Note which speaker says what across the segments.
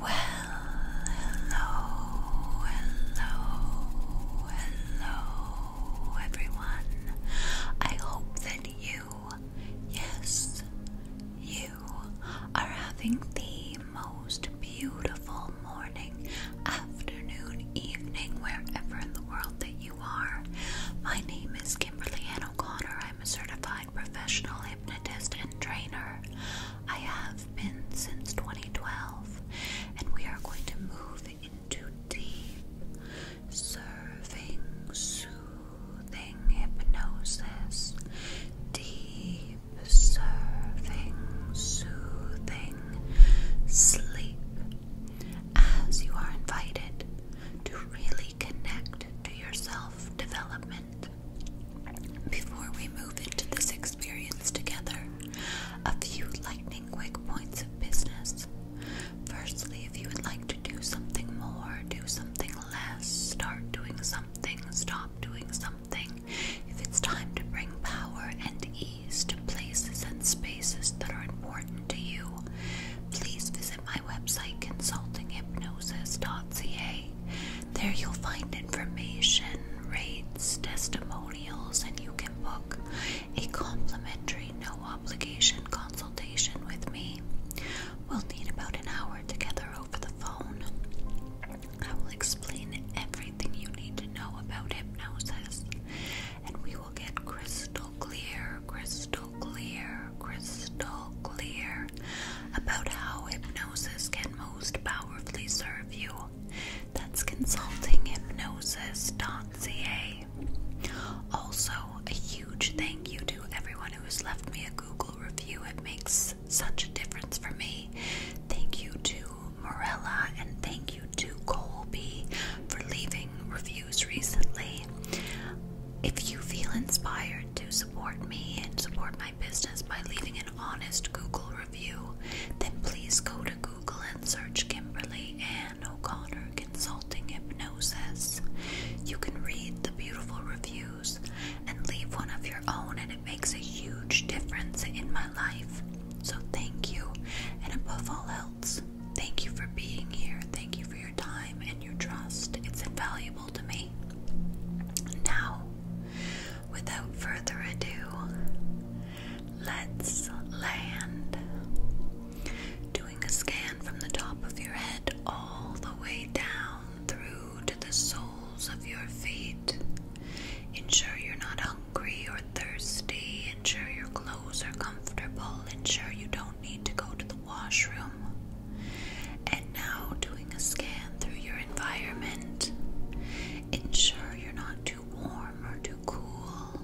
Speaker 1: Well, hello, hello, hello, everyone. I hope that you, yes, you you are having the most beautiful morning, afternoon, evening, wherever in the world that you are. My name is Kimberly Ann O'Connor. I'm a certified professional hypnotist and trainer. I have been since 2012, and we are going to move into deep, serving, soothing hypnosis. Deep deep, soothing sleep as you are invited to really connect to your self development. Before we move into this experience together, a few lightning quick points of business. Firstly, if you would like to do something more, do something less, start doing something, stop doing something if it's time to bring power and ease to places and spaces that are important to you, please visit my website consultinghypnosis.ca. There you'll find information, rates, testimonials, and you can book a complimentary, no obligation consultation with me. We'll need about an hour together over the phone. I will explain everything you need to know about hypnosis, and we will get crystal clear, crystal clear, crystal clear about how hypnosis can most powerfully serve you. That's consultinghypnosis.ca. Also, a huge thank you to everyone who has left me a Google review. It makes such a difference for me. Thank you to Morella and thank you to Colby for leaving reviews recently. If you feel inspired to support me and support my business by leaving an honest Google review, then please go to Google and search Kimberly Ann O'Connor Consulting Hypnosis. You can read the beautiful reviews and leave one of your own, and it makes a huge difference in my life. So, thank you, and above all else, thank you for being here. Thank you for your time and your trust, it's invaluable to me. Now, without further ado, let's land. Doing a scan from the top of your head all the way down through to the soles of your feet. Ensure you're not hungry or thirsty. Ensure your clothes are comfortable. Ensure you don't need to go to the washroom. And now, doing a scan through your environment. Ensure you're not too warm or too cool.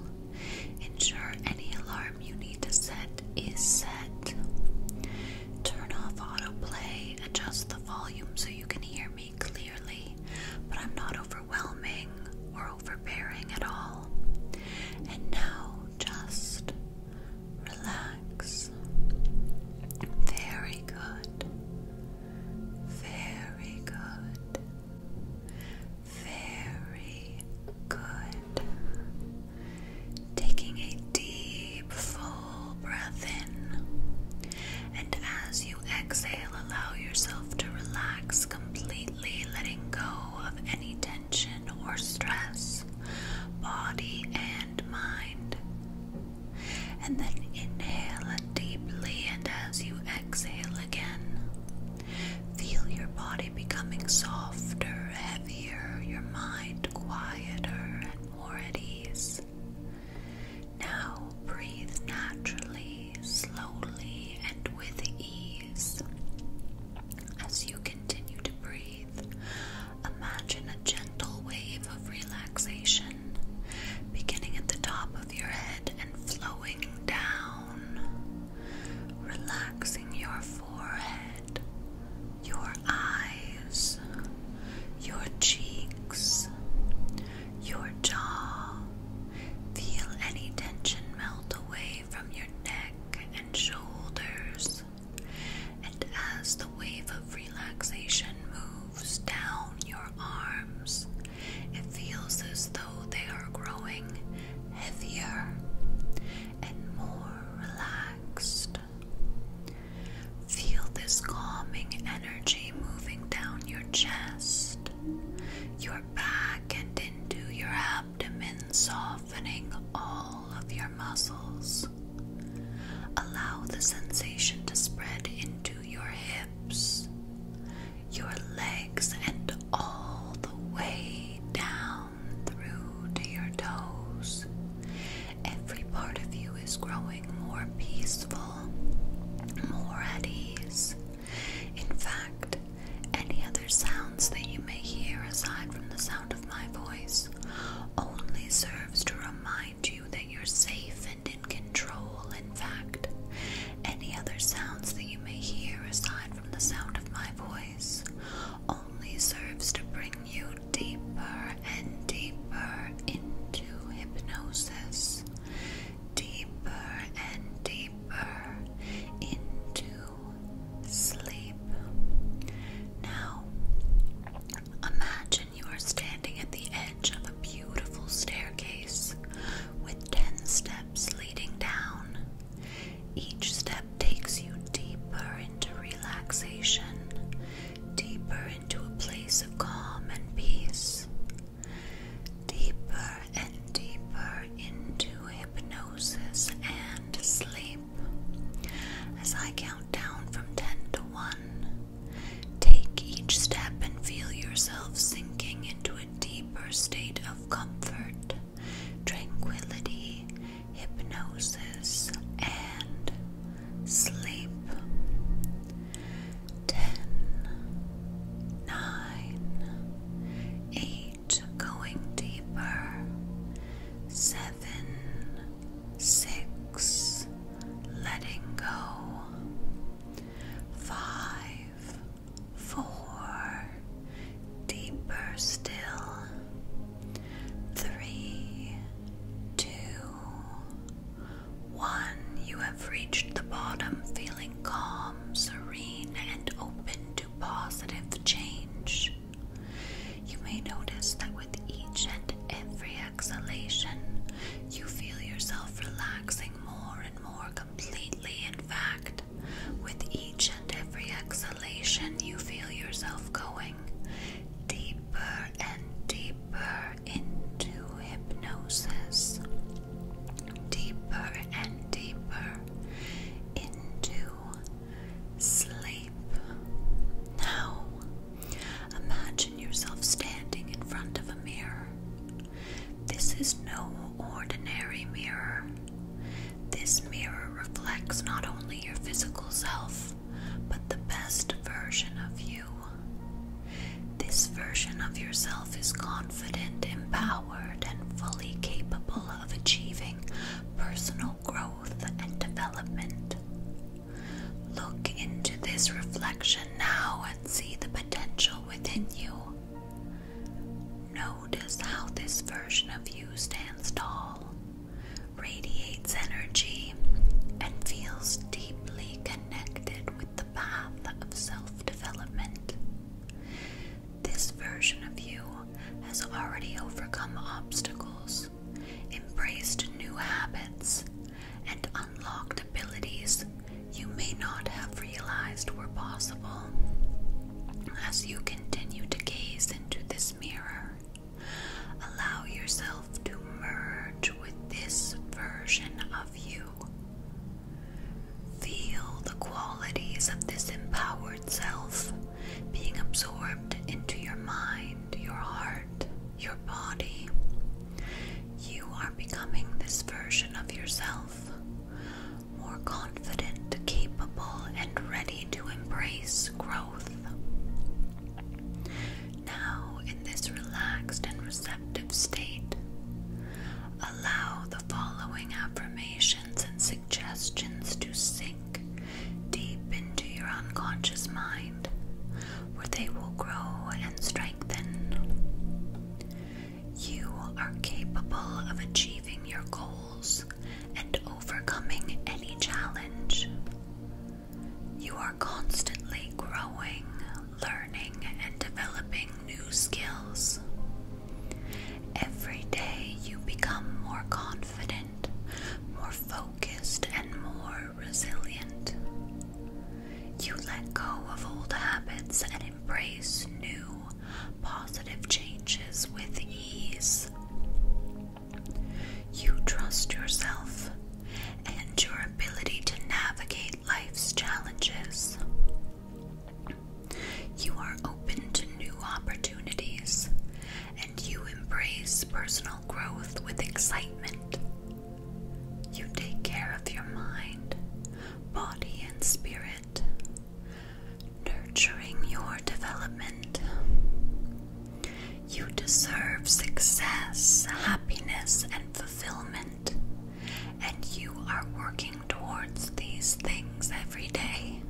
Speaker 1: Ensure any alarm you need to set is set. Turn off autoplay. Adjust the volume so you can hear clearly, but I'm not overwhelming or overbearing at all. And now just relax. Very good. Very good. Very good. Taking a deep full full breath in. And as you exhale, allow yourself to relax completely, letting go of any tension or stress, body and mind. And then inhale deeply, and as you exhale again, feel your body becoming softer, heavier, your mind quieter, and more at ease. Now breathe naturally, slowly, and with ease. As you continue to breathe, imagine a gentle wave of relaxation beginning at the top of your head and flowing down, relaxing your forehead, your eyes, your cheeks, your jaw. Feel any tension melt away from your neck and shoulders. And as the wave of relaxation moves down your arms, it feels as though they are growing heavier and more relaxed. Feel this calming energy moving down your chest, your back, and into your abdomen, softening all of your muscles. Allow the sensation to spread into your hips, your legs, and all the way down through to your toes. Every part of you is growing growing more peaceful, more at ease. In fact, any other sounds that you may hear aside from the sound of my voice only serves to remind you that you're safe and in control. In fact, any other sounds that you may hear aside from the sound of my voice only serves to bring you deeper and deeper into hypnosis deeper and deeper into sleep. Now, imagine you are standing at the edge of a beautiful staircase with 10 steps leading down. Each step takes you deeper into relaxation, deeper into a place of calm and peace deeper and deeper into hypnosis and sleep. As I count down from 10 to 1, take each step and feel yourself sinking into a deeper state of comfort, tranquility, hypnosis, and sleep. Ten, nine, eight, going deeper, seven, six, letting go, five, four, deeper still, three, two, one, you have reached the bottom feeling calm, serene, and open to positive change. You may notice that with each and every exhalation, you feel yourself relaxing more and more completely. In fact, with each and every exhalation, you feel yourself going deeper and deeper deeper into hypnosis, deeper and deeper into sleep. Now, imagine yourself standing in front of a mirror. This is no ordinary mirror. This mirror reflects not only your physical self, but the best version of you. This version of yourself is confident, empowered, and fully capable of achieving personal growth and development. Look into this reflection now and see the potential within you. Notice how this version of you stands tall, radiates energy, and feels deeply connected with the path of self development. This version of you has already overcome obstacles, embraced new habits, and unlocked abilities you may not have realized were possible. As you continue to gaze into this mirror, allow yourself to merge with this version of you. Feel the qualities of this empowered self being absorbed into your mind, your heart, your body. You are becoming this version of yourself, more confident, capable, and ready to embrace growth. Now, in this relaxed and receptive state, allow the following affirmations and suggestions to sink deep into your unconscious mind, where they will grow and strengthen. You are capable of achieving your goals and overcoming any challenge. You are constantly growing, learning and developing new skills. Every day you become more confident, more focused, and more resilient. You let go of old habits and embrace new, positive changes with ease. You trust yourself and your ability to navigate life's challenges. You are open to new opportunities and you embrace personal growth with excitement. You take care of your mind, body, and spirit, nurturing your development. You deserve success, happiness, and fulfillment and you are working towards these things every day.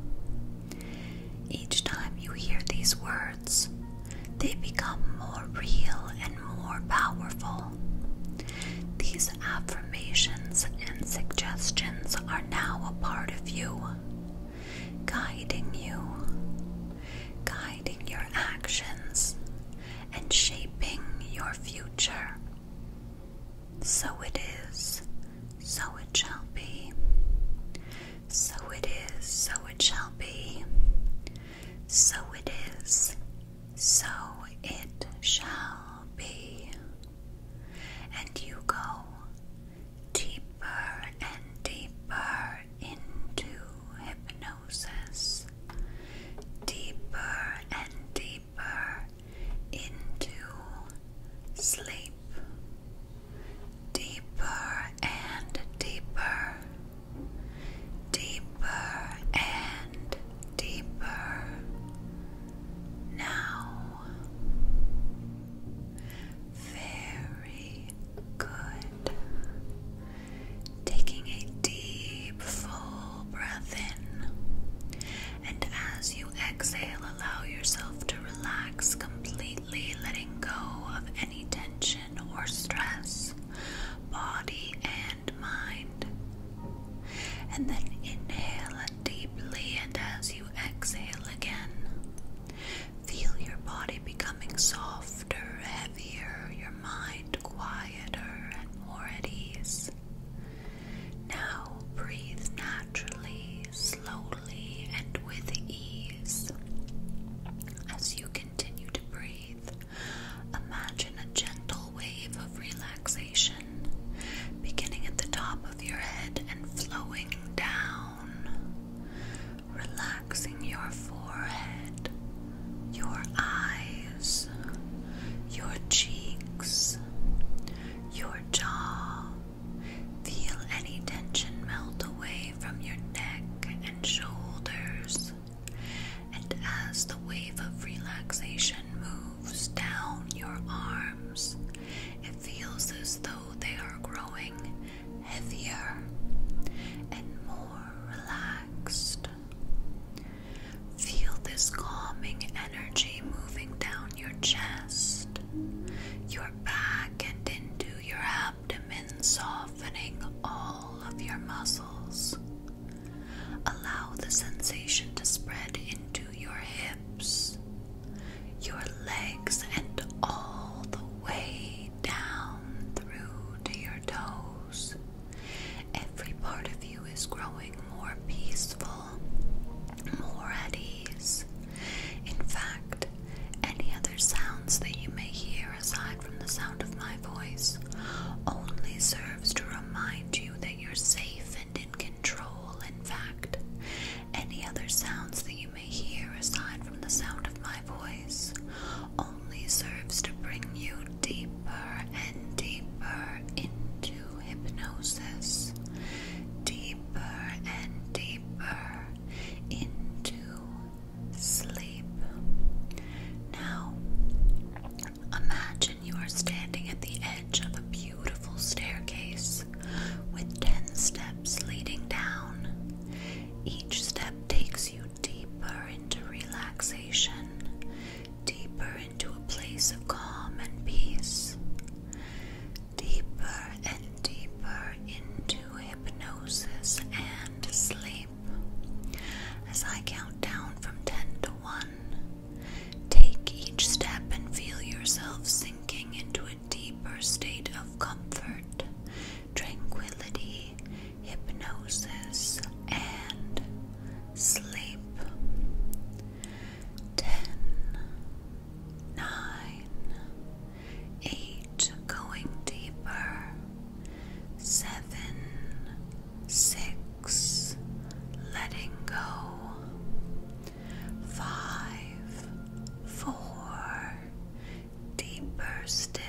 Speaker 1: Each time you hear these words, they become more real and more powerful. These affirmations and suggestions are now a part of you, guiding you, guiding your actions, and shaping your future. So it is, so it shall be. So it is, so it shall be. So it is, so it shall be. And you go deeper and deeper into hypnosis deeper and deeper into sleep. Deeper and deeper, deeper and deeper. Now, very good, taking a deep, full breath in. And as you exhale, allow yourself to relax completely, letting go of any tension or stress, body and mind. And then inhale deeply, and as you exhale again, feel your body becoming softer, heavier, your mind quieter and more at ease. Now breathe naturally, slowly, and with ease. As you continue to breathe, imagine a gentle wave of relaxation beginning at the top of your head and flowing down, relaxing your forehead, your eyes, your cheeks, your jaw. Feel any tension melt away from your neck and shoulders. And as the wave of relaxation moves down your arms, it feels as though they are growing heavier and more relaxed. Feel this calming energy moving down your chest, your back, and into your abdomen, softening all of your muscles. Allow the sensation to spread into your hips, your legs, and all the way down through to your toes. Every part of you is growing more peaceful, more at ease. In fact, any other sounds that you may hear aside from the sound of my voice only serves to remind you that you're safe and in control. In fact, any other sounds that you may hear aside from the sound of my voice only serves to bring you deeper deeper and deeper into hypnosis, deeper and deeper into sleep. Now, imagine you are standing at the edge of a beautiful staircase with 10 steps leading down. Each step takes you deeper into relaxation, deeper to a place of calm and peace, deeper and deeper into hypnosis and sleep. As I count down from 10 to 1, take each step and feel yourself sinking into a deeper state of comfort, tranquility, hypnosis, and sleep. Ten, nine, eight, going deeper. Seven, six, letting go. Five, four, deeper still.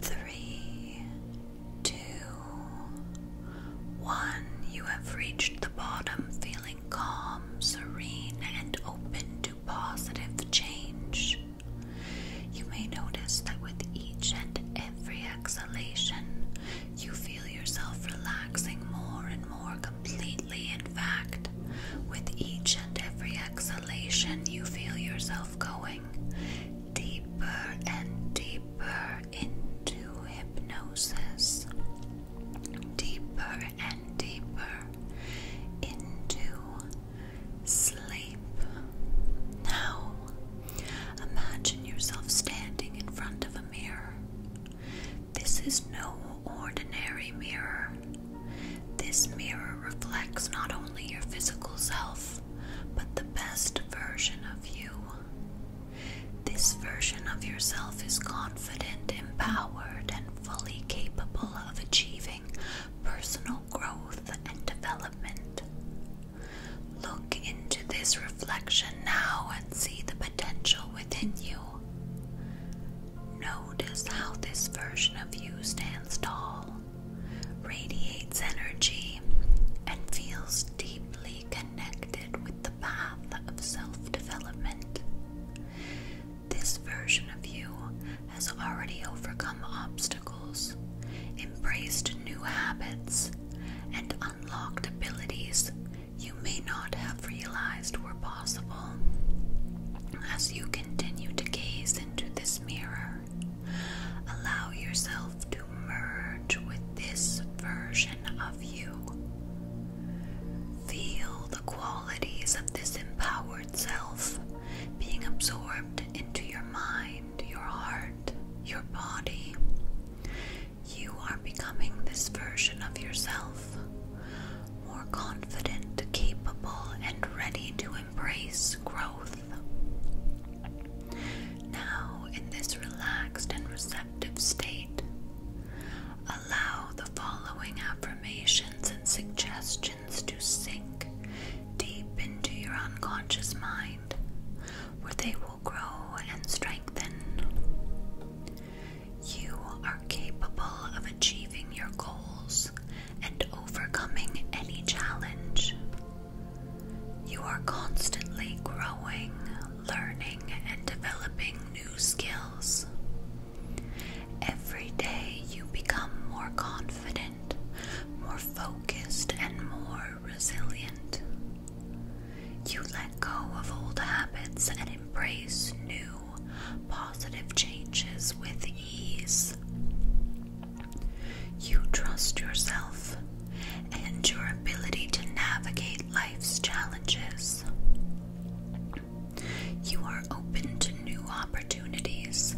Speaker 1: Three, two, one. You have reached the bottom, feeling calm, serene, and open to positive change. You may notice that with each and every exhalation, you feel yourself relaxing more and more completely. In fact, with each and every exhalation, you feel yourself going deeper and deeper deeper into hypnosis, deeper and deeper into sleep. Now, imagine yourself standing in front of a mirror. This is no ordinary mirror. This mirror reflects not only your physical self, but the best version of you. This version of yourself is confident, empowered, and fully capable of achieving personal growth and development. Look into this reflection now and see the potential within you. Notice how this version of you stands tall, radiates energy, and feels deep deeply connected with the path of self development. This version of you has already overcome obstacles, embraced new habits, and unlocked abilities you may not have realized were possible. As you continue to gaze into this mirror, allow yourself to merge with this version of you. Feel the qualities of this empowered self being absorbed into your mind, your heart, your body. You are becoming this version of yourself, more confident, capable, and ready to embrace growth now, in this relaxed and receptive state, allow the following affirmations and suggestions to sink deep into your unconscious mind, where they will grow and strengthen. You are capable of achieving your goals and overcoming any challenge. You are constantly growing, learning, and developing new skills. Every day you become more confident, more focused, and more resilient. You let go of old habits and embrace new, positive changes with ease. You trust yourself and your ability to navigate life's challenges. You are open to new opportunities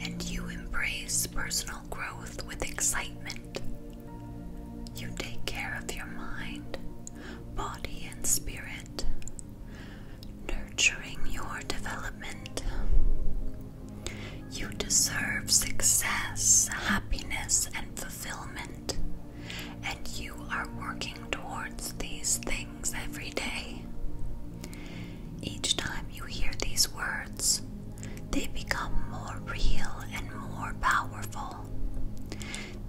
Speaker 1: and you embrace personal growth with excitement. You take care of your mind, body, and spirit, nurturing your development. You deserve success, happiness, and fulfillment, and you are working towards these things every day. Each time you hear these words, they become more real and more powerful.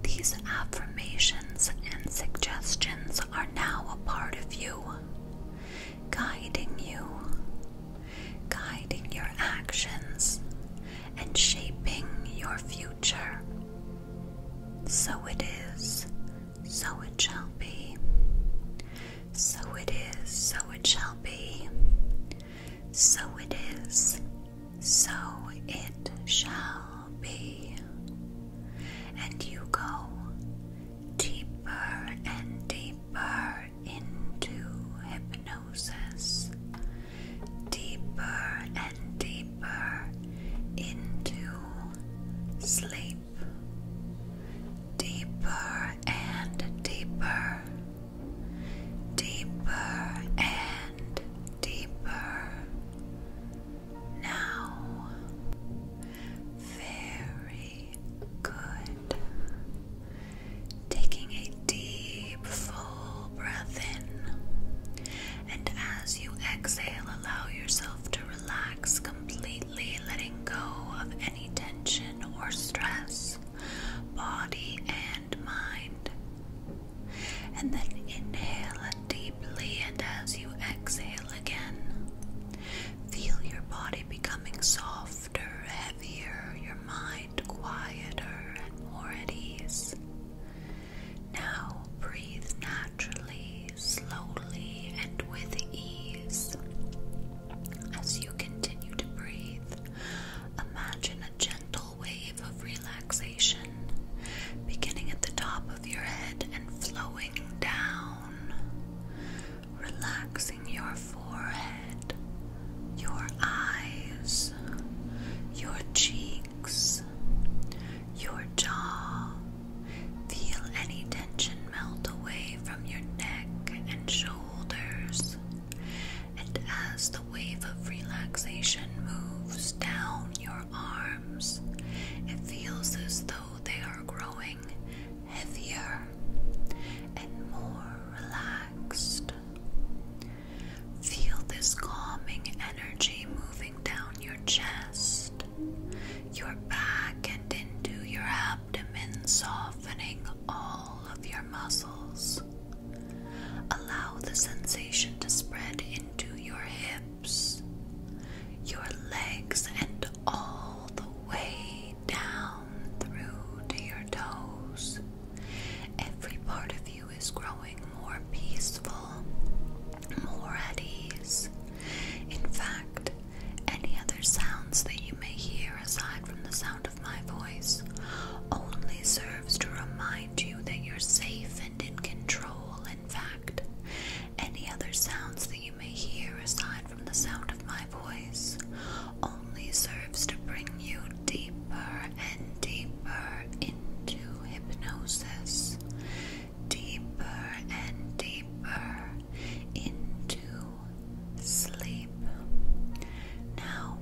Speaker 1: These affirmations and suggestions are now a part of you, guiding you, guiding your actions and shaping your future. So it is, so it shall be. So it is, so it shall be. So it is, so it shall be. And you go deeper and deeper into hypnosis, deeper and deeper into sleep, deeper and deeper, deeper and deeper. Now, very good taking a deep, full breath in. And as you exhale, allow yourself to relax completely, letting go of any tension or stress, body and mind. And then inhale deeply, and as you exhale again, feel your body becoming soft heavier, your mind quieter and more at ease. Now breathe naturally, slowly, and with ease. As you continue to breathe, imagine a gentle wave of relaxation beginning at the top of your head and flowing down. Relax your forehead, your eyes, your cheeks, your jaw. Feel any tension melt away from your neck and shoulders. And as the wave of relaxation moves down your arms, it feels as though they are growing heavier and more relaxed. Feel this calming energy moving down your chest, your back, and into your abdomen, softening all of your muscles. Allow the sensation to spread into your hips, your legs, and all the way down through to your toes. Every part of you is growing more peaceful, more at ease. In fact, any other sounds that you may hear aside from the sound of my voice only serves to remind you that you're safe and in control. In fact, any other sounds that you may hear aside from the sound of my voice only serves to bring you deeper and deeper into hypnosis, deeper and deeper into sleep. Now,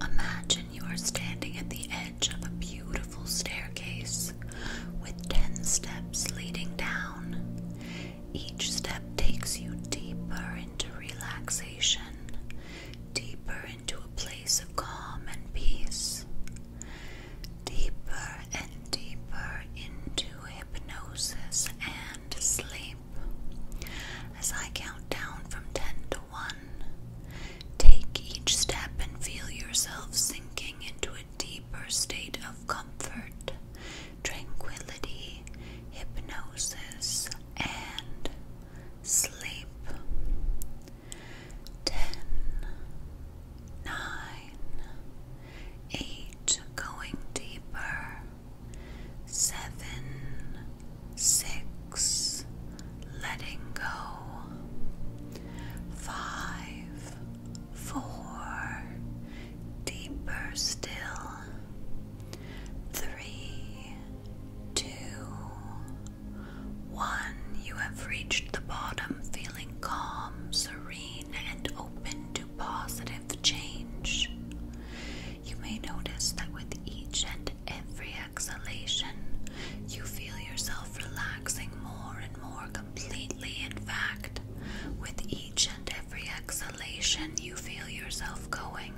Speaker 1: imagine you are standing at the edge of a beautiful staircase with 10 steps leading down. Each step takes you deeper into relaxation, deeper into a place of calm and peace, deeper and deeper into hypnosis and sleep. As I count down from 10 to 1, take each step and feel yourself sinking into a deeper state of comfort, tranquility, hypnosis, and sleep. Ten, nine, eight, going deeper. Seven, six, letting go. Five, four, deeper still. Three, two, one. You have reached the bottom, feeling calm, serene, and open to positive change. You may notice that with each and every exhalation, you feel yourself relaxing more and more completely. In fact, with each and every exhalation, you feel yourself going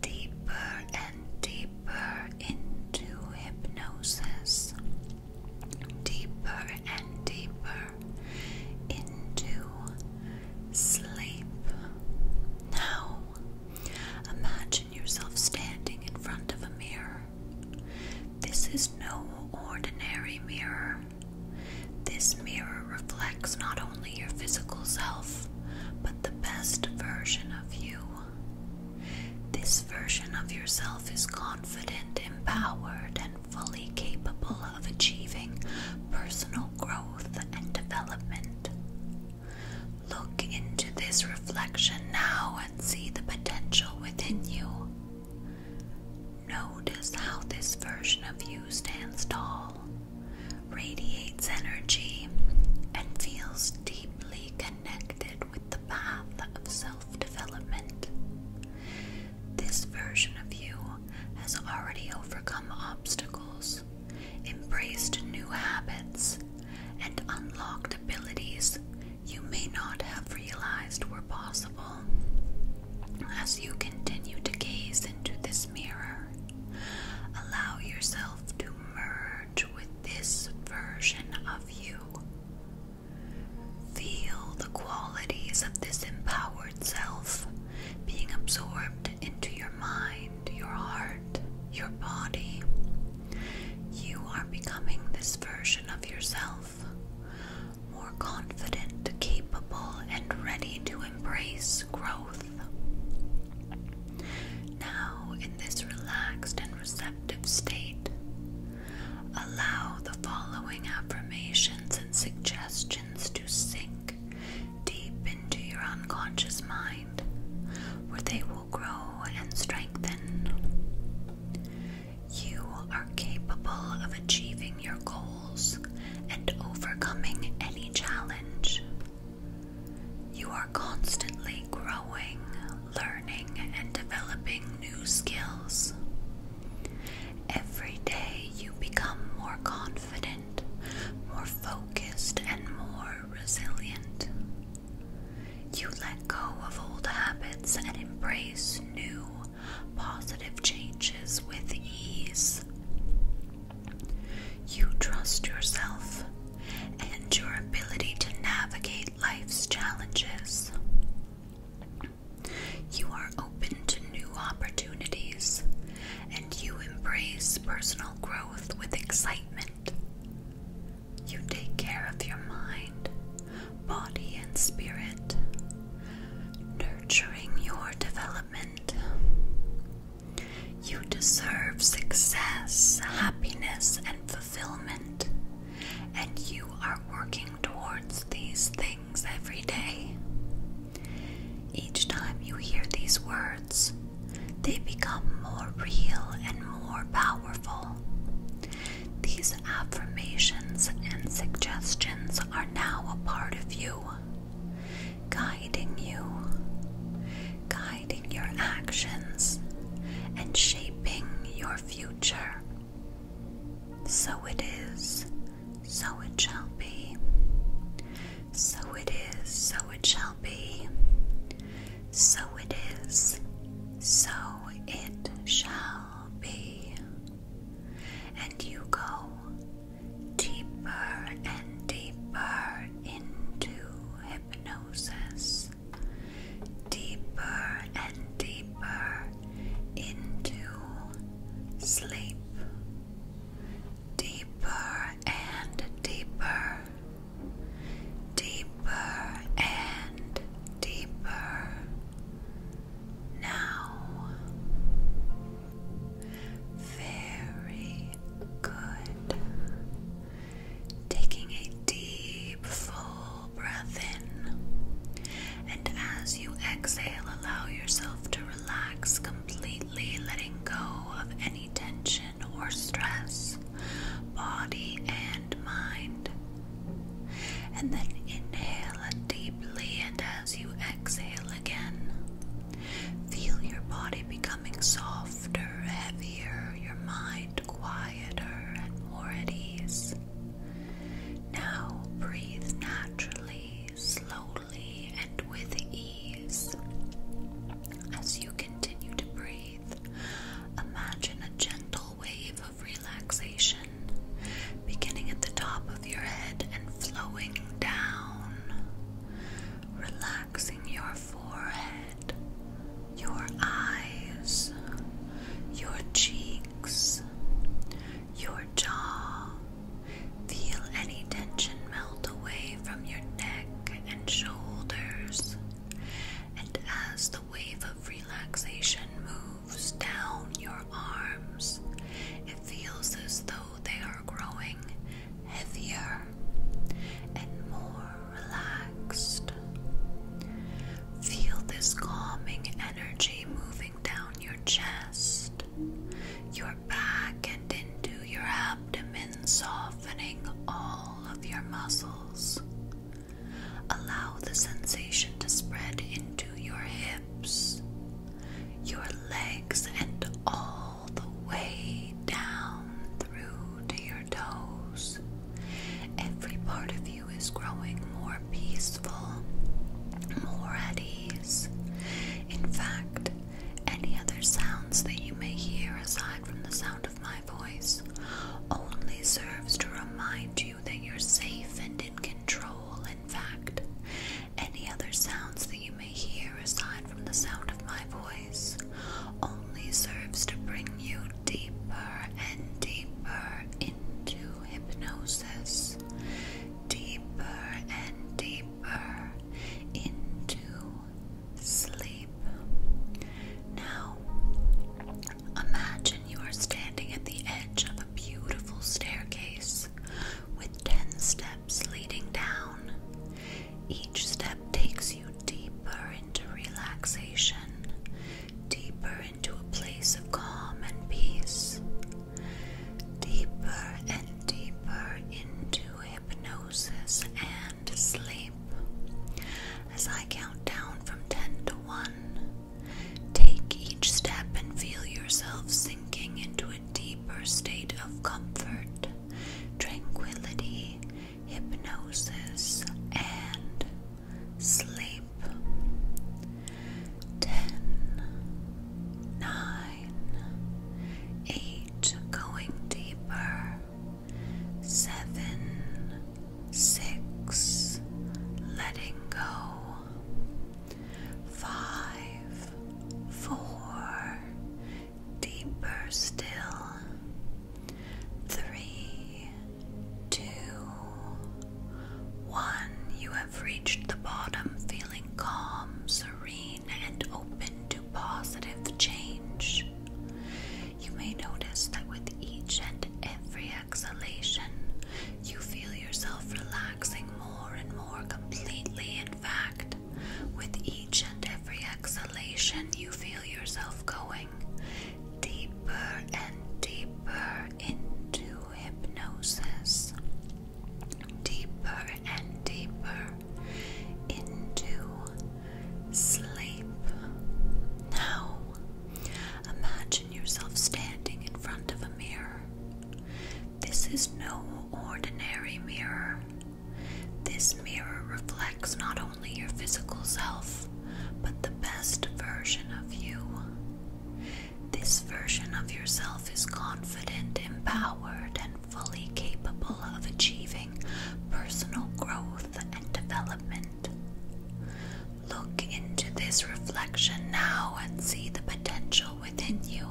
Speaker 1: deeper and deeper into hypnosis, deeper and deeper into sleep. Now, imagine yourself standing in front of a mirror. This is no ordinary mirror. This mirror reflects not only your physical self, but not the best version of you. This version of yourself is confident, empowered, and fully capable of achieving personal growth and development. Look into this reflection now and see the potential within you. Notice how this version of you stands tall, radiates energy, and feels deeply connected with the path of self development. This version of you has already overcome obstacles, embraced new habits, and unlocked abilities you may not have realized were possible. As you continue to gaze into this mirror. Allow yourself to merge with this version of you. Feel the qualities of this empowered self being absorbed into your mind, your heart, your body. You are becoming this version of yourself, more confident, capable, and ready to embrace growth. Now, in this relaxed and receptive state, allow the following affirmations and suggestions to sink deep into your unconscious mind, where they will grow and strengthen. You are capable of achieving your goals and overcoming any challenge. You are constantly growing, learning, and developing new skills. Every day you become more confident, more focused, and more resilient. You let go of old habits and embrace new, positive changes with ease. You trust yourself and your ability to navigate life's challenges. You are open to new opportunities and you embrace personal growth with excitement. You take care of your mind, body, and spirit, nurturing your development. You deserve success, happiness, and fulfillment, and you are working towards these things every day. Each time you hear these words, they become more real and more powerful. These affirmations and suggestions are now a part of you guiding you, guiding your actions, and shaping your future. So it is, so it shall be. So it is, so it shall be. So it is, so it shall be. And you go deeper and deeper into hypnosis, deeper and deeper into sleep, deeper and deeper, deeper and deeper. Now, very good. Taking a deep, full breath in. And as you exhale, allow yourself to relax completely, letting go of any tension or stress, body and mind. And then inhale deeply, and as you exhale again, Feel your body becoming softer, heavier, your mind quieter and more at ease. Now breathe naturally, slowly, and with ease. As you continue to breathe, imagine a gentle wave of relaxation beginning at the top of your head and flowing down. Relax relaxing your forehead, your eyes, your cheeks, your jaw. Feel any tension melt away from your neck and shoulders. And as the wave of relaxation moves down your arms, it feels as though they are growing heavier and more relaxed. Feel this calming energy moving down your chest, your back, and into your abdomen, softening all of your muscles. Allow the sensation to spread into your hips, your legs, and all all the way down through to your toes. Every part of you is growing more peaceful, more at ease. In fact, any other sounds that you may hear aside from the sound of my voice only serves to remind you that you're safe and in control. In fact, any other sounds that you may hear aside from the sound of my voice only serves to bring you deeper and deeper into hypnosis, deeper and deeper into sleep. Now, imagine you are standing at the edge of a beautiful staircase with 10 steps leading down. Each step takes you deeper into relaxation, deeper into a place of calm and peace, deeper and deeper into hypnosis and sleep. As I count down from 10 to 1, take each step and feel yourself sinking into a deeper state of comfort, tranquility, hypnosis, and sleep. 10, 8, going deeper, 7, 6, letting go, 5, 4, deeper still. Three, two, one. You have reached the bottom, feeling calm, serene, and open to positive change. You may notice that with each and every exhalation, you feel yourself relaxing more and more completely. In fact, with each and every exhalation, you feel yourself going deeper and deeper into hypnosis, deeper and deeper into sleep. Now, imagine yourself standing in front of a mirror. This is no ordinary mirror. This mirror reflects not only your physical self, but the best version of you. This version of yourself is confident, empowered, and fully capable of achieving personal growth and development. Look into this reflection now and see the potential within you.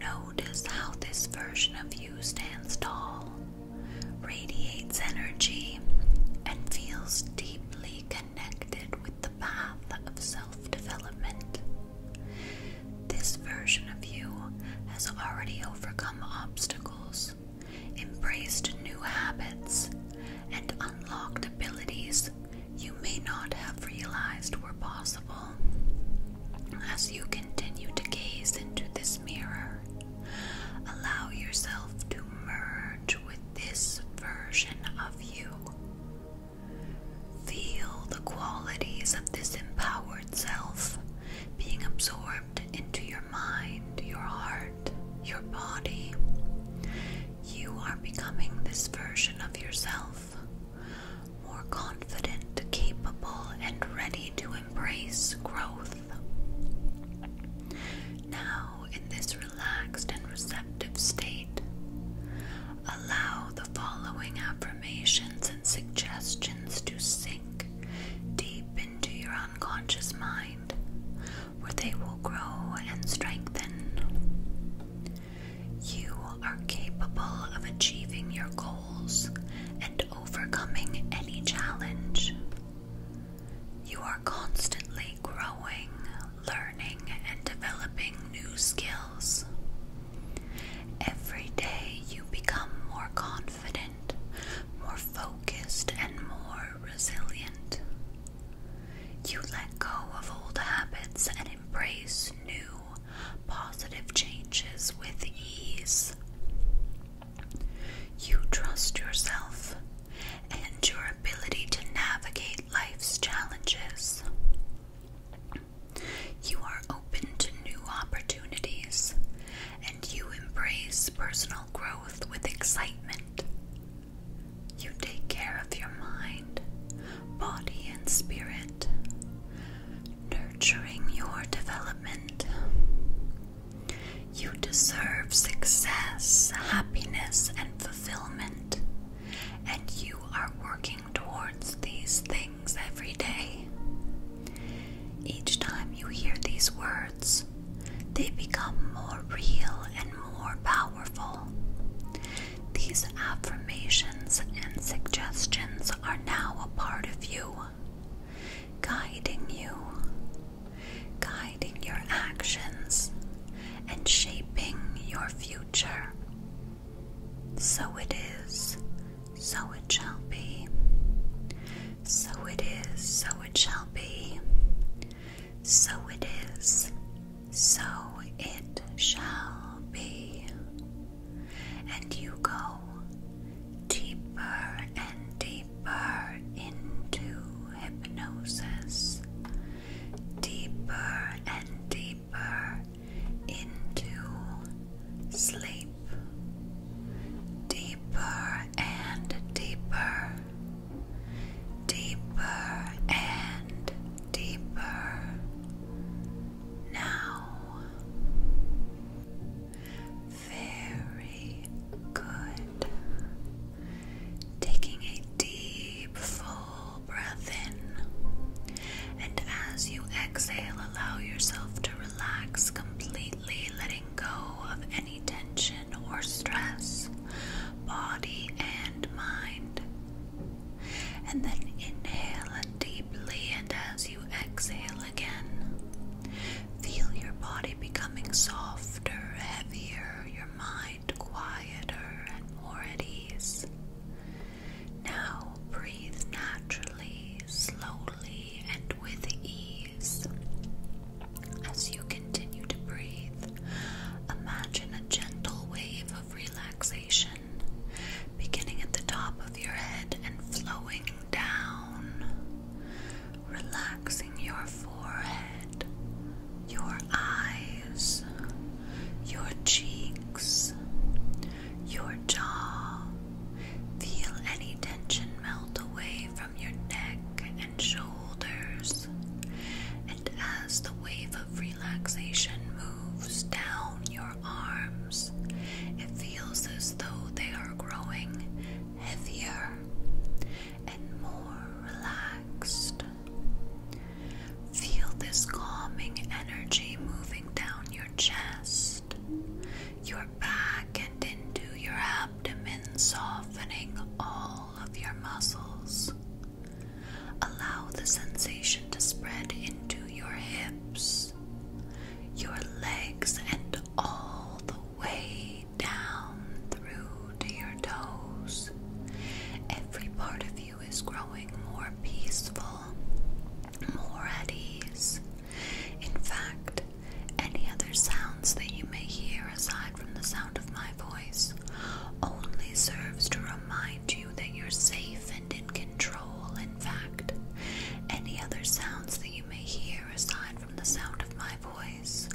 Speaker 1: Notice how this version of you stands tall, radiates energy, and feels deeply connected with the path of self development. This version of you has already overcome obstacles, embraced new habits, and unlocked abilities you may not have realized were possible. As you continue to gaze into this mirror, allow yourself to merge with this version of you. Feel the qualities of this empowered self being absorbed into your mind, your heart, your body. You are becoming this version of yourself, more confident, capable, and ready to embrace growth. Now, in this relaxed and receptive state, allow the following affirmations and suggestions to sink deep into your unconscious mind, where they will grow and strengthen. You are capable of achieving your goals and overcoming any challenge. You are constantly growing, learning, and developing new skills. Every day you become more confident, more focused, and more resilient. You let go of old habits and embrace new, positive changes with ease. You trust yourself and your ability to navigate life's challenges. You are open to new opportunities and you embrace personal growth with excitement. You take care of your mind, body, and spirit nurturing your development. You deserve success, happiness, and fulfillment, and you are working towards these things every day. Each time you hear these words, they become more real and more powerful. These affirmations and suggestions are now a part of you guiding you, guiding your actions, and shaping your future. So it is, so it shall be. So it is, so it shall be. So it is, so it shall be and you go deeper and deeper into hypnosis, deeper and deeper into sleep, deeper and deeper, deeper and deeper. Now, very good. Taking a deep, full breath in. And as you exhale, allow yourself to relax completely, letting go of any tension or stress, body and mind. And then inhale deeply, and as you exhale again, Feel your body becoming softer, heavier, your mind quieter and more at ease. Now breathe naturally, slowly, and with ease. As you continue to breathe, imagine a gentle wave of relaxation beginning at the top of your head and flowing down, relaxing your forehead, your eyes, your cheeks, your jaw. Feel any tension melt away from your neck and shoulders. And as the wave of relaxation moves down your arms, it feels as though they are growing heavier and more relaxed. Feel this calming energy moving down your chest, your back, and into your abdomen, softening all of your muscles. Allow the sensation to spread into your hips your legs, and all the way down through to your toes. Every part of you is growing more peaceful, more at ease. In fact, any other sounds that you may hear aside from the sound of my voice only serves to remind you that you're safe and in control. In fact, any other sounds that you may hear aside from the sound of my voice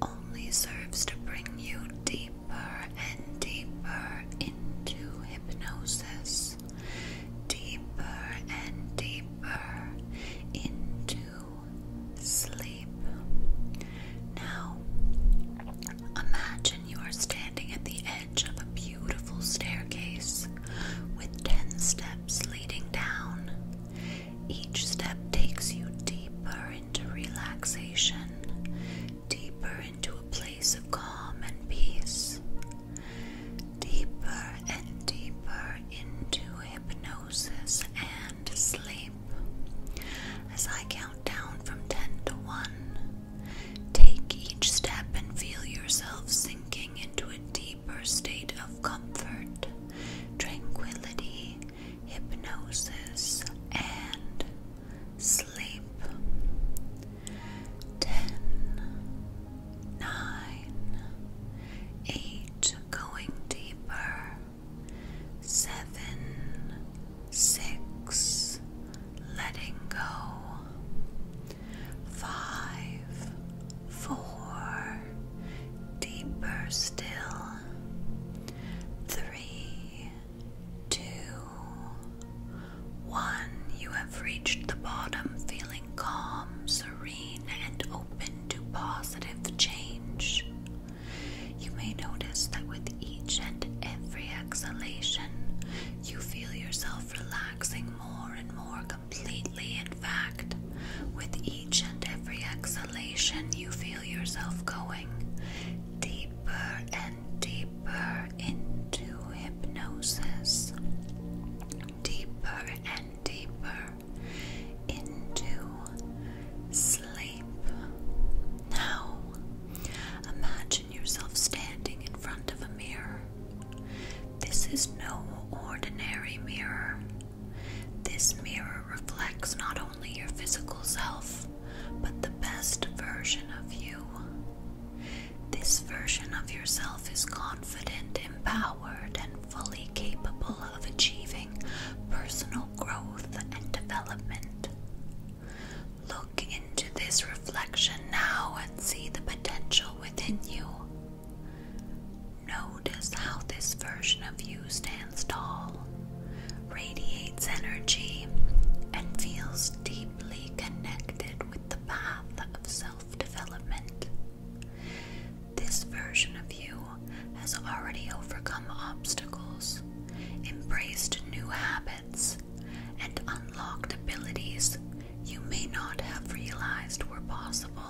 Speaker 1: only serves to bring you deeper and deeper into hypnosis, deeper and deeper into sleep. Now, imagine you are standing at the edge of a beautiful staircase with 10 steps steps down. Each step takes you deeper into relaxation, deeper into a place of calm and peace, deeper and deeper into hypnosis and sleep. As I count down from 10 to 1, take each step and feel yourself sinking into a deeper state of comfort, tranquility, hypnosis, and sleep. 10, 9, 8, going deeper, 7, 6, letting go. Five, four, deeper still. Three, two, one. You have reached the bottom, feeling calm, serene, and open to positive change. You may notice that with each and every exhalation, you feel yourself relaxing more and more completely, in fact. With each and every exhalation, you feel yourself going deeper and deeper into hypnosis, deeper and deeper into sleep. Now, imagine yourself standing in front of a mirror. This is no ordinary mirror. This mirror reflects not only your physical self, but the best version of you. This version of yourself is confident, empowered, and fully capable of achieving personal growth and development. Look into this reflection now and see the potential within you. Notice how this version of you stands tall, radiates energy, and feels deeply connected with the path of self development. This version of you has already overcome obstacles, embraced new habits, and unlocked abilities you may not have realized were possible.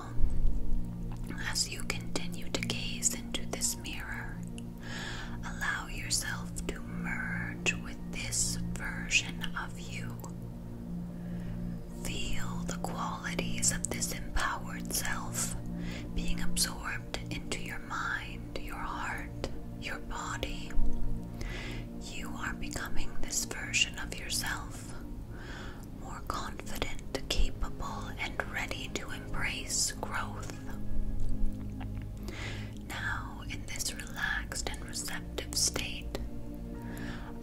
Speaker 1: As you continue to gaze into this mirror, allow yourself to merge with this version of you. Feel the qualities of this empowered self being absorbed into your mind, your heart, your body. You are becoming this version of yourself, more confident, capable, and ready to embrace growth. Now, in this relaxed and receptive state,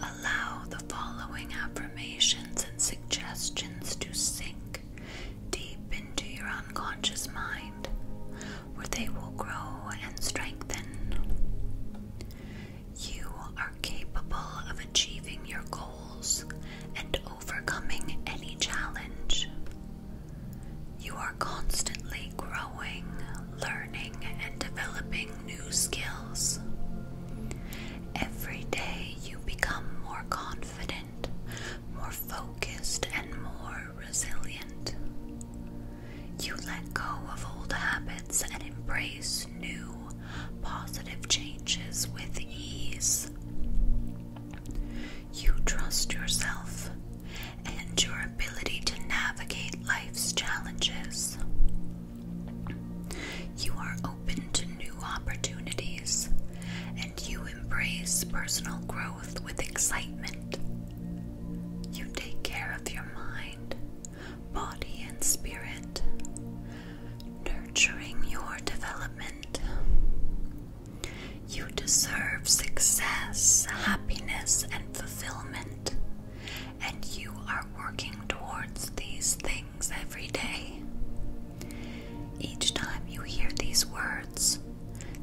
Speaker 1: allow the following affirmations and suggestions to sink deep into your unconscious mind, where they will grow and strengthen. You are capable of achieving your goals and overcoming any challenge. You are constantly growing, learning, and developing new skills. Every day you become more confident, more focused, and more resilient. You let go of old habits and embrace new positive changes with ease. You trust yourself and your ability to navigate life's challenges. You are open to new opportunities and you embrace personal growth with excitement. You take care of your mind body and spirit, nurturing your development. You deserve success, happiness, and fulfillment, and you are working towards these things every day. Each time you hear these words,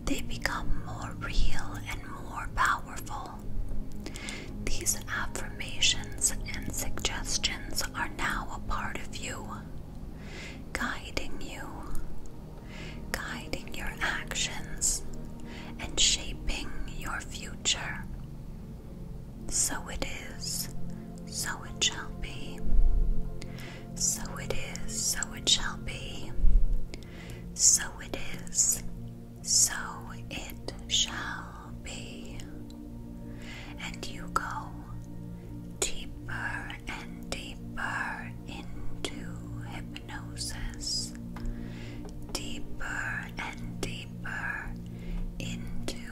Speaker 1: they become more real and more powerful. These affirmations and suggestions are now a part of you, guiding you, guiding your actions, and shaping your future. So it is, so it shall be. So it is, so it shall be. So it is, so it shall be and you go deeper and deeper into hypnosis, deeper and deeper into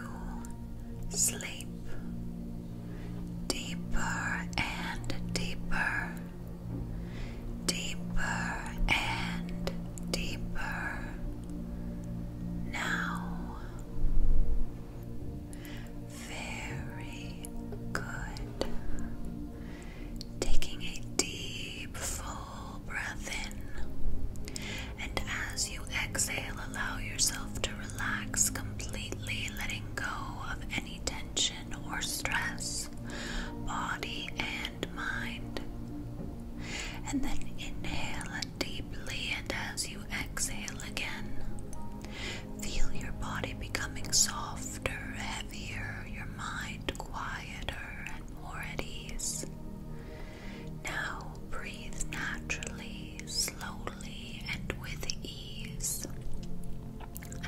Speaker 1: sleep, deeper and deeper, deeper and deeper. Now very good. Taking a deep, full breath in. And as you exhale, allow yourself to relax completely, letting go of any tension or stress, body and mind. And then inhale deeply, and as you exhale again, feel your body becoming softer, heavier, your mind quieter, and more at ease. Now breathe naturally, slowly, and with ease.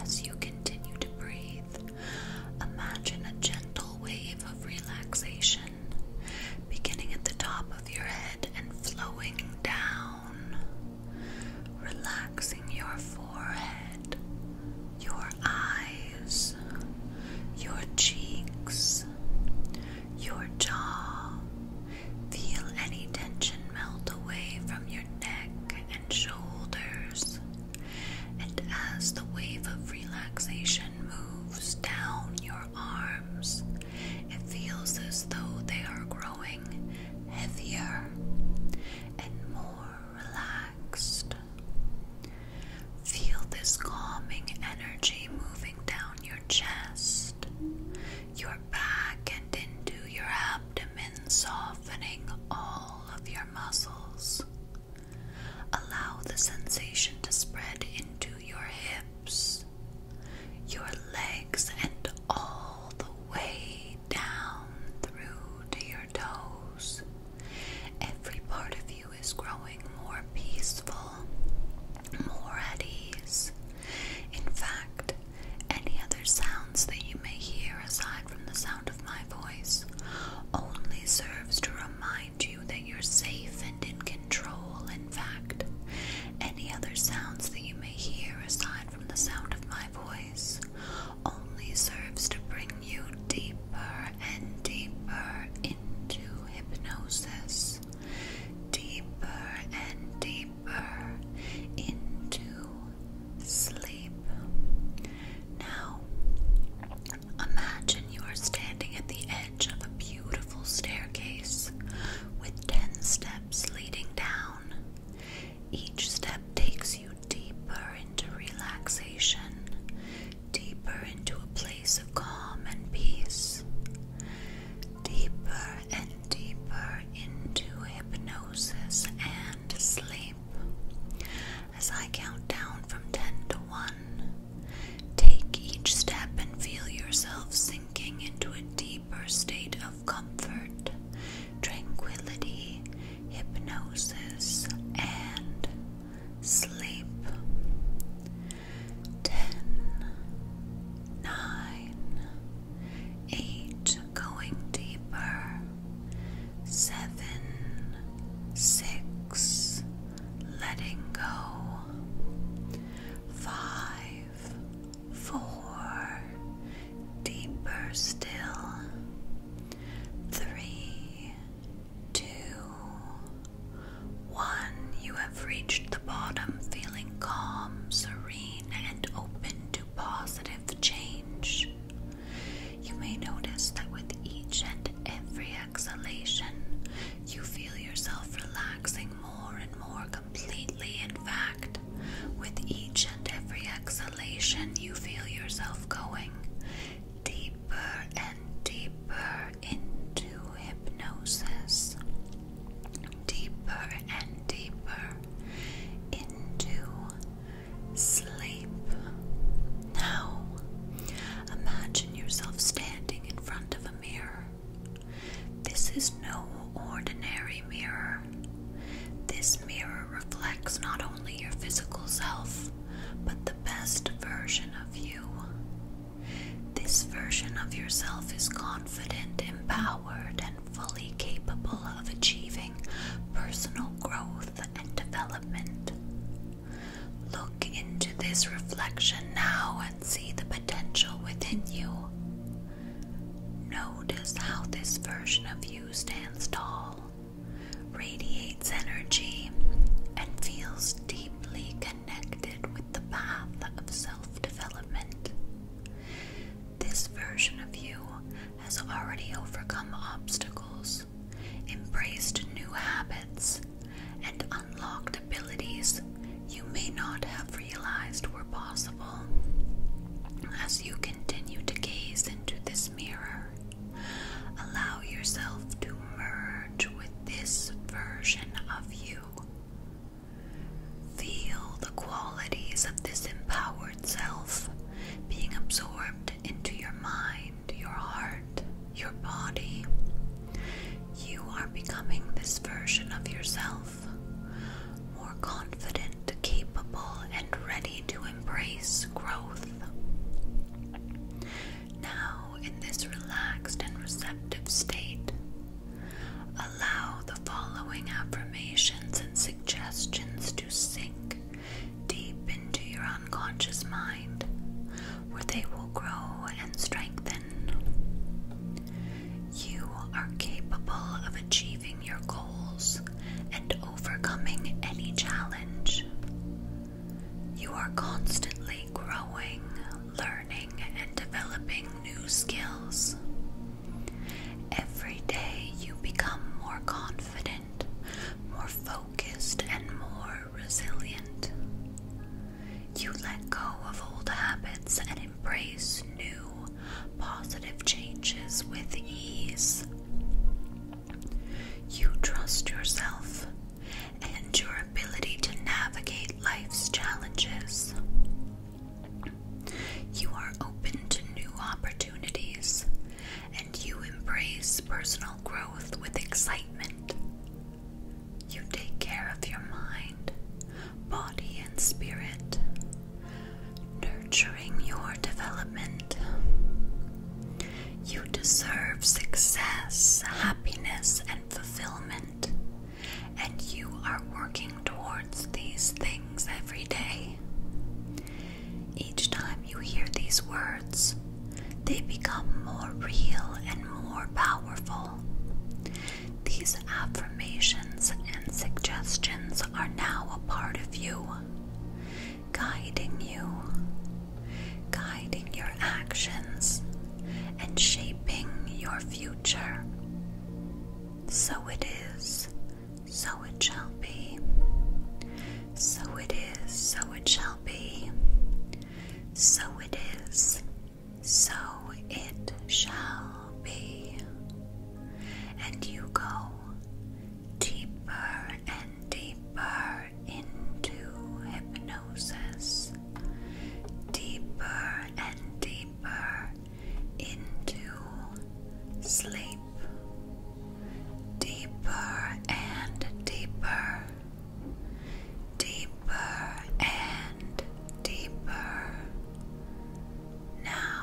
Speaker 1: As you continue to breathe, imagine a gentle wave of relaxation beginning at the top of your head and flowing down, relaxing your forehead, your eyes, your cheeks, your jaw. Feel any tension melt away from your neck and shoulders. And as the wave of relaxation moves down your arms. It feels as though they are growing heavier and more relaxed. Feel this calming energy moving down your chest, your back, and into your abdomen, softening all of your muscles. Allow the sensation to spread into your hips your legs, and all the way down through to your toes. Every part of you is growing more peaceful, more at ease. In fact, any other sounds that you may hear aside from the sound of my voice only serves to remind you that you're safe and in control. In fact, any other sounds that you may hear aside from the sound of my voice only serves to bring you deeper and deeper into hypnosis, deeper and deeper into sleep. Now, imagine you are standing at the of a beautiful staircase with 10 steps leading down. Each step takes you deeper into relaxation, deeper into a place of calm and peace, deeper and deeper into hypnosis and sleep. As I count down from 10 to 1, Take each step and feel yourself sinking into a deeper state of comfort, tranquility, hypnosis, and sleep. 10, 8, going deeper, 7, 6, letting go, 5, five, four, deeper still, three, two, one. You have reached the bottom, feeling calm, serene, and open to positive change. You may notice that with each and every exhalation, you feel yourself relaxing more and more completely, in fact. With each and every exhalation, you feel yourself going deeper and deeper into hypnosis, deeper and deeper into sleep. Now, imagine yourself standing in front of a mirror. This is no ordinary mirror. This mirror reflects not only your physical self, but the best version of you. This version of yourself is confident, empowered, and fully capable of achieving personal growth and development. Look into this reflection now and see the potential within you. Notice how this version of you stands tall, radiates energy, and feels deeply connected with the path of self development. This version of you has already overcome obstacles, embraced new habits, and unlocked abilities you may not have realized were possible. As you continue to gaze into this mirror, allow yourself to merge with this version of you. Feel the qualities of this empowered self being absorbed into your mind, your heart, your body, you are becoming this version of yourself, more confident, capable, and ready to embrace growth. Now, in this relaxed and receptive state, allow the following affirmations and suggestions to sink deep into your unconscious mind, where they will grow and strengthen. You are capable of achieving your goals and overcoming any challenge. You are constantly growing, learning, and developing new skills. Every day you become more confident, more focused, and more resilient. You let go of old habits and embrace new, positive changes with ease. You trust yourself and your ability to navigate life's challenges. You are open to new opportunities and you embrace personal growth with excitement. You take care of your mind, body, and spirit, nurturing your development. You deserve success, happiness, and fulfillment, and you are working towards these things every day. Each time you hear these words, they become more real and more powerful. These affirmations and suggestions are now a part of you, guiding you, guiding your actions, and shaping your future. So it is, so it shall be. So it is, so it shall be. So it is, so it shall be. And you go deeper and deeper into hypnosis, deeper and deeper into sleep, deeper and deeper. Deeper deeper and deeper now.